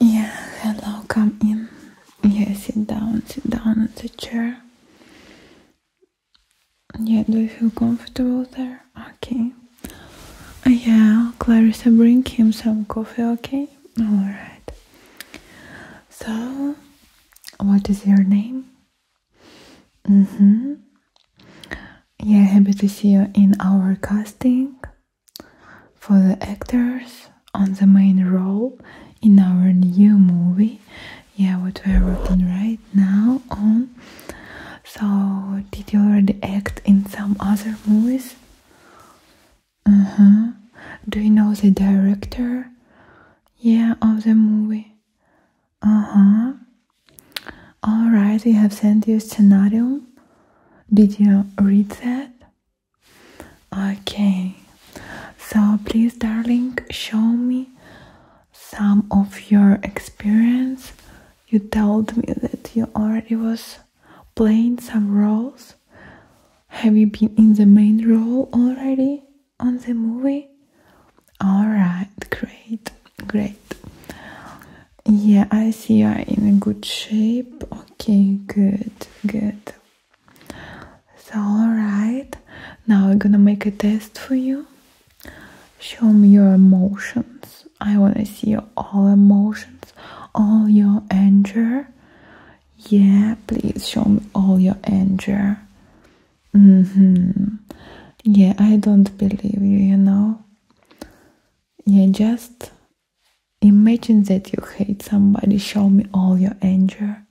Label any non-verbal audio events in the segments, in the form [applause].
Yeah, hello, come in. Yeah, sit down, sit down on the chair. Yeah, do you feel comfortable there? Okay. Uh, yeah, Clarissa, bring him some coffee, okay? Alright. So, what is your name? Mm hmm. Yeah, happy to see you in our casting. For the actors on the main role in our new movie, yeah, what we're working right now on. So, did you already act in some other movies? Uh huh. Do you know the director? Yeah, of the movie. Uh huh. Alright, we have sent you a scenario did you read that? Okay. So please, darling, show me some of your experience. You told me that you already was playing some roles. Have you been in the main role already on the movie? All right, great. Great. Yeah, I see you are in good shape. Okay, good, good. So, alright. Now we're gonna make a test for you. Show me your emotions. I wanna see all emotions, all your anger. Yeah, please show me all your anger. hmm Yeah, I don't believe you, you know. Yeah, just imagine that you hate somebody. Show me all your anger.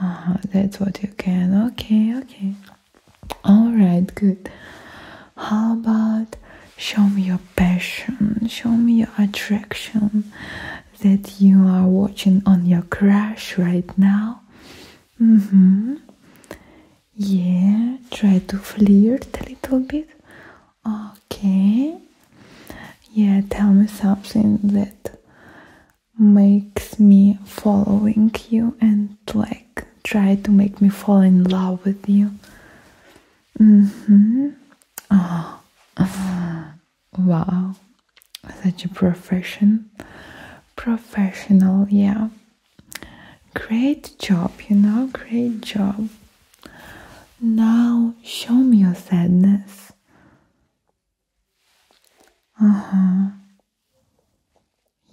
Uh-huh, that's what you can. Okay, okay. Alright, good. How about show me your passion? Show me your attraction that you are watching on your crush right now. hmm yeah, try to flirt a little bit. Okay. Yeah, tell me something that makes me following you and like try to make me fall in love with you. Mm-hmm. Oh. wow. Such a profession. Professional, yeah. Great job, you know, great job. Now show me your sadness. Uh huh.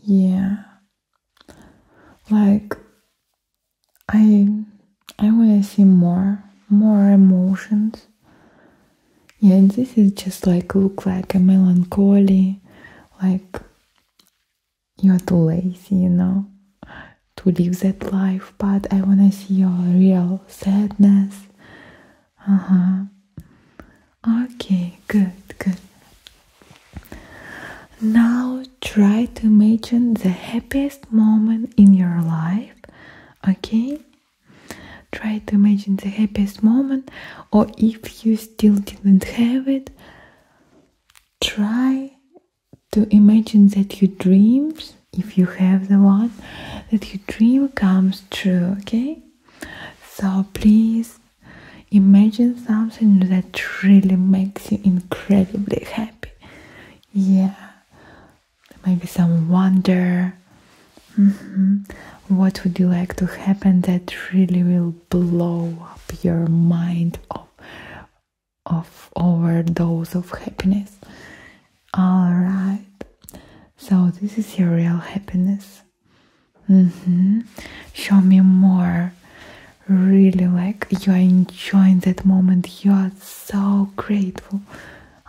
Yeah. Like I I wanna see more more emotions yeah and this is just like look like a melancholy like you're too lazy you know to live that life but i want to see your real sadness uh-huh okay good good now try to imagine the happiest moment in your life okay Try to imagine the happiest moment, or if you still didn't have it, try to imagine that your dreams, if you have the one, that your dream comes true, okay? So please imagine something that really makes you incredibly happy. Yeah, maybe some wonder Mm-hmm. What would you like to happen that really will blow up your mind of, of overdose of happiness? Alright, so this is your real happiness. Mm-hmm. Show me more. Really like you are enjoying that moment, you are so grateful.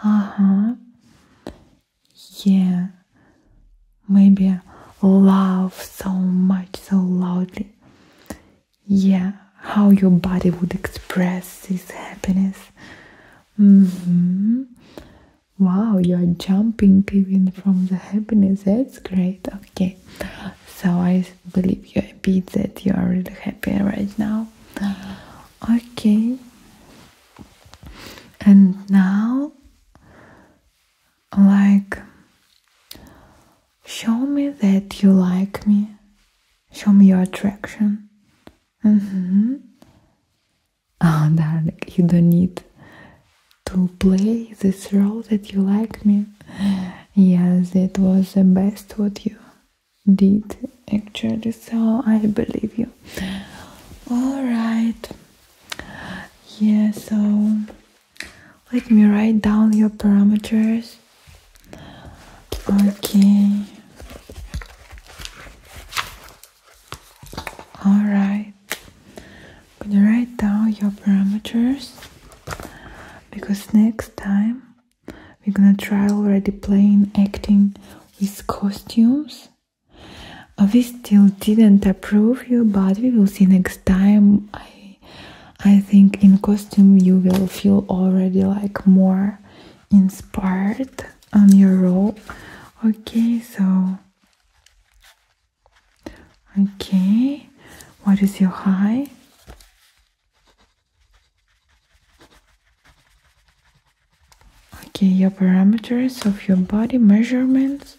Uh huh yeah, maybe laugh so much, so loudly. Yeah, how your body would express this happiness. Mm-hmm. Wow, you are jumping even from the happiness. That's great. Okay, so I believe you I happy that you are really happy right now. Mm-hmm. Okay, and now, like, show me that you like me, show me your attraction. Mm darling, you don't need to play this role that you like me. Yes, it was the best what you did actually so i believe you all right yeah so let me write down your parameters okay all right right. Gonna write down your parameters because next time we're gonna try already playing acting with costumes uh, we still didn't approve you but we will see next time i i think in costume you will feel already like more inspired on your role okay so okay what is your high okay your parameters of your body measurements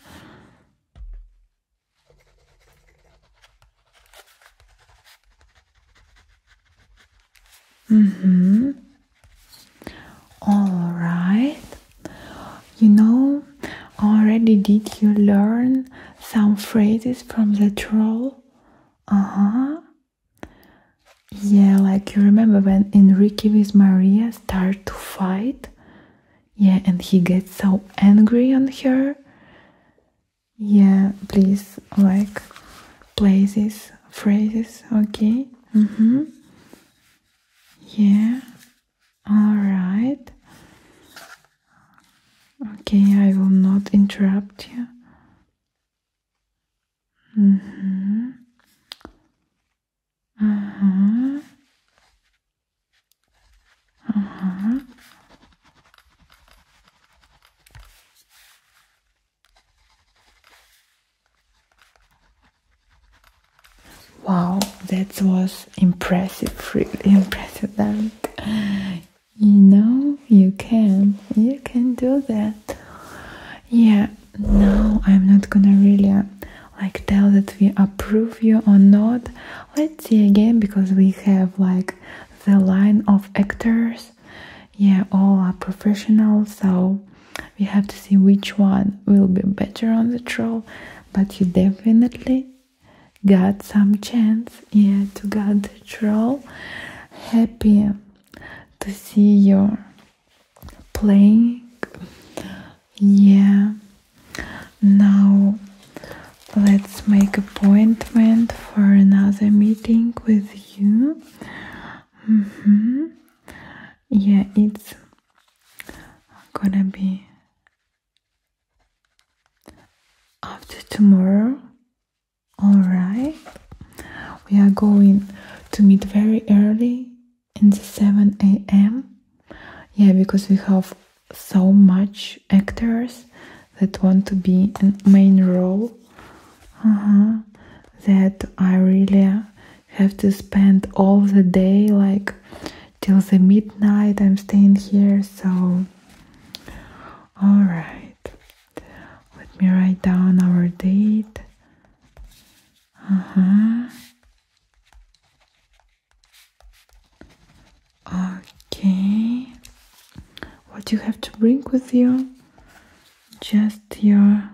mm-hmm. All right. You know, already did you learn some phrases from the troll? Uh huh. Yeah, like you remember when Enrique with Maria start to fight? Yeah, and he gets so angry on her. Yeah, please, like, play phrases, okay? Mm-hmm. Yeah, alright. Okay, I will not interrupt you. Mm -hmm. Uh huh. Uh huh. Wow, that was impressive, really impressive. [laughs] That you know you can you can do that yeah no i'm not gonna really uh, like tell that we approve you or not let's see again because we have like the line of actors yeah all are professional so we have to see which one will be better on the troll but you definitely got some chance yeah, to get the troll. Happy to see your playing. Yeah. Now let's make appointment for another meeting with you. Mm-hmm. Yeah, it's gonna be after tomorrow all right we are going to meet very early in the 7 a.m yeah because we have so much actors that want to be in main role uh-huh. that i really have to spend all the day like till the midnight I'm staying here so all right let me write down our date uh-huh okay what you have to bring with you just your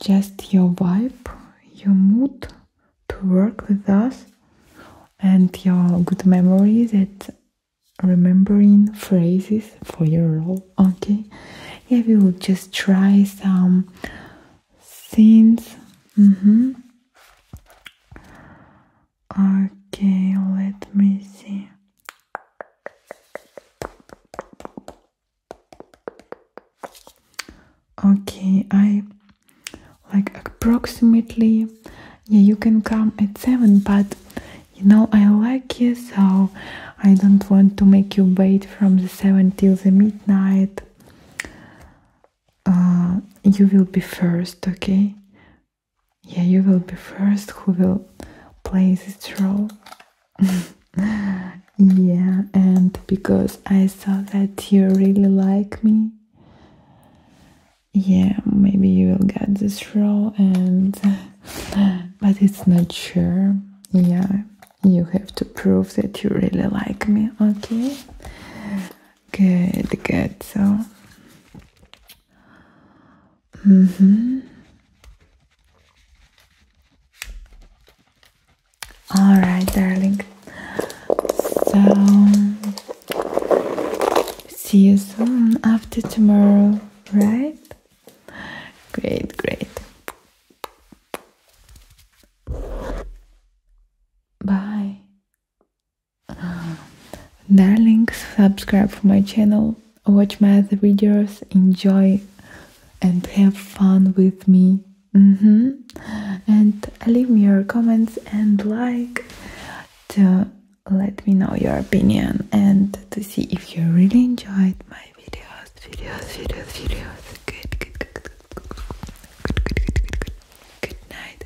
just your vibe, your mood to work with us, and your good memories at remembering phrases for your role. Okay, yeah, we will just try some scenes. Mm-hmm. Okay, let me see. Okay, I like approximately. Yeah, you can come at 7, but you know, I like you, so I don't want to make you wait from the 7 till the midnight. Uh, you will be first, okay? Yeah, you will be first who will play this role. [laughs] yeah, and because I saw that you really like me, yeah, maybe you will get this role, and [laughs] but it's not sure. Yeah, you have to prove that you really like me, okay? Good, good. So, mm hmm. All right, darling. So, see you soon after tomorrow, right? Great, great. Bye. [gasps] Darling, subscribe for my channel watch my videos, enjoy and have fun with me. And leave me your comments and like to let me know your opinion and to see if you really enjoyed my videos, videos, videos, videos. Good, good, good, good, good, good, good, good, good, good. Good night.